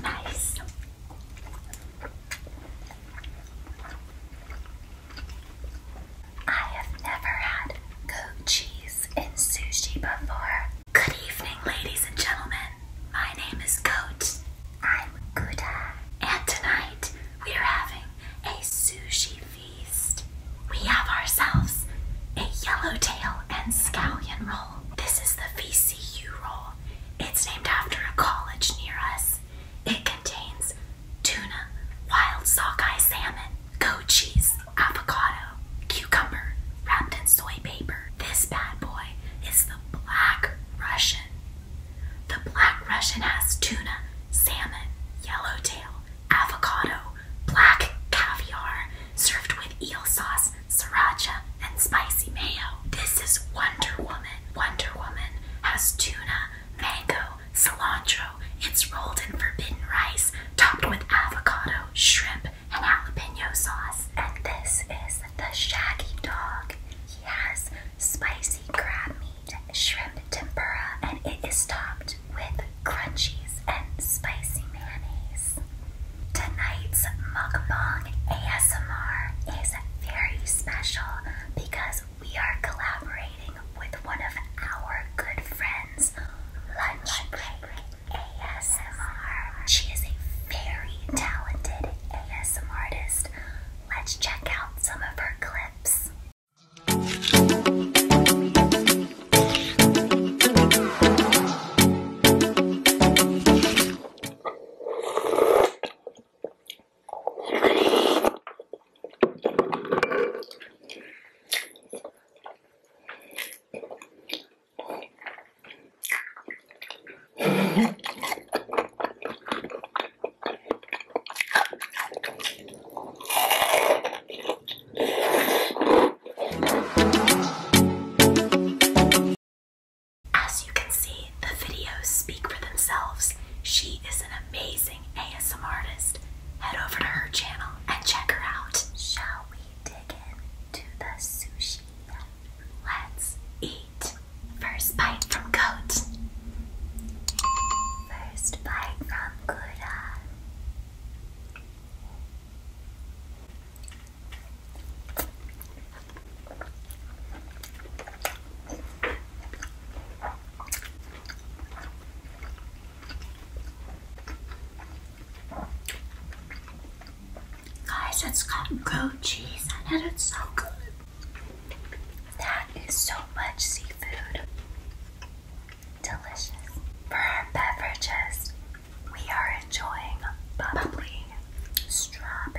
Nice. I have never had goat cheese in sushi before. Good evening, ladies and gentlemen. My name is Goat. I'm Gouda. And tonight we are having a sushi feast. We have ourselves a yellowtail and scallion roll. This is the VCU roll. It's named after a college near us. It contains tuna, wild sockeye salmon, goat cheese, avocado, cucumber, wrapped in soy paper. This bad boy is the black Russian the black Russian has tuna, salmon, yellowtail, avocado, black caviar, served with eel sauce, sriracha, and spicy mayo. This is Wonder Woman. Wonder Woman has tuna, mango, cilantro. It's rolled in forbidden rice, topped with avocado, shrimp, and jalapeno sauce. And this is the Shaggy Dog. He has spicy crab meat shrimp tempura, and it is topped with crunchies and spicy mayonnaise. Tonight's mukbang ASMR is very special because we are collaborating with one of our good friends, Lunch Break ASMR. She is a very talented ASMR artist let's check out some of her clips. As you can see, the videos speak for themselves. She is an amazing ASM artist. Head over to her channel and check her out. Shall we dig in to the sushi? Let's eat. First bite from goat. First bite from Gouda. Guys, it's got goat cheese on it. It's so good. That is so much seafood. Delicious. For our beverages, we are enjoying bubbly strawberry.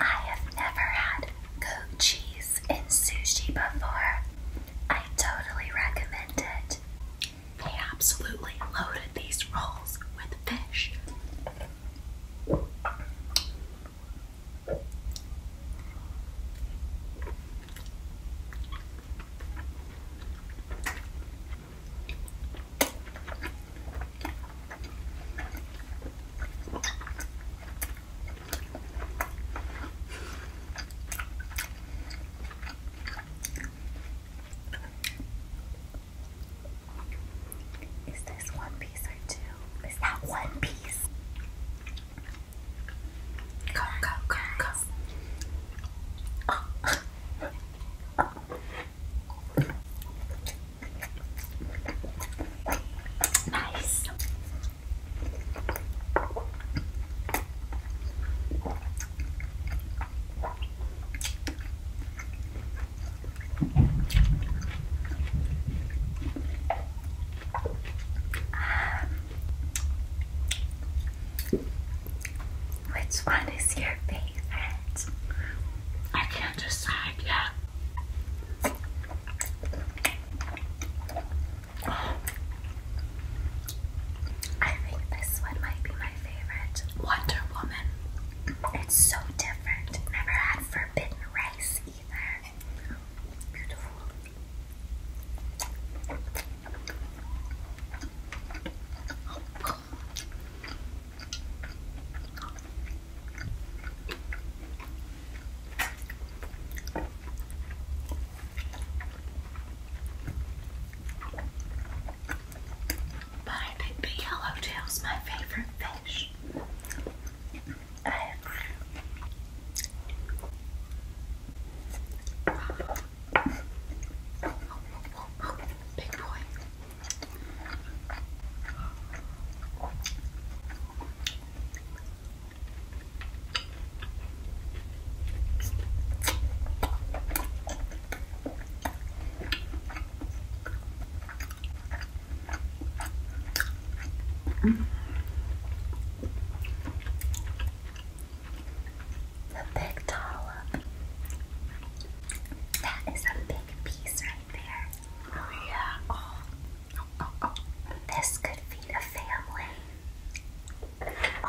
I have never had goat cheese in sushi before. I totally recommend it. They absolutely loaded these rolls with fish. Is this one piece or two? Is that one piece? Go, go, go, go. Nice. Um, which one is your favorite? I can't I think this one might be my favorite. Wonder Woman. It's so different. Never had forbidden rice either. Beautiful. Oh, but I think the yellowtail's my favorite fish. I agree. Big boy. The big dollop that is a big piece right there. Oh yeah. Oh, oh, oh, this could feed a family. There we go.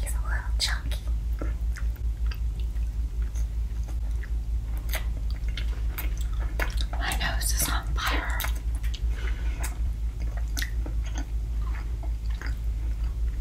He's a little chunky. My nose is on fire.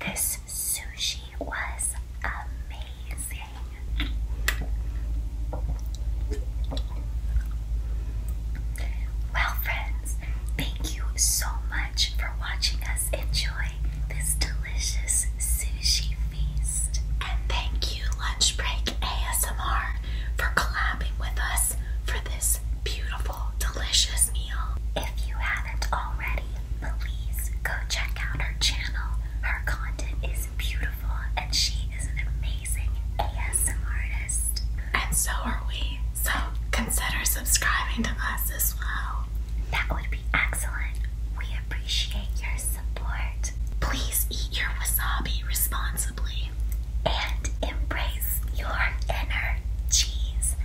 This sushi was amazing. Well, friends, thank you so much for watching us enjoy this delicious sushi feast. And thank you, Lunch Break ASMR, for collabing with us for this beautiful, delicious meal. If you haven't already, please go check out her channel. Her content is beautiful and she is an amazing ASMR artist. And so are we. So consider subscribing to us as well. That would be excellent. We appreciate your support. Please eat your wasabi responsibly and embrace your inner cheese.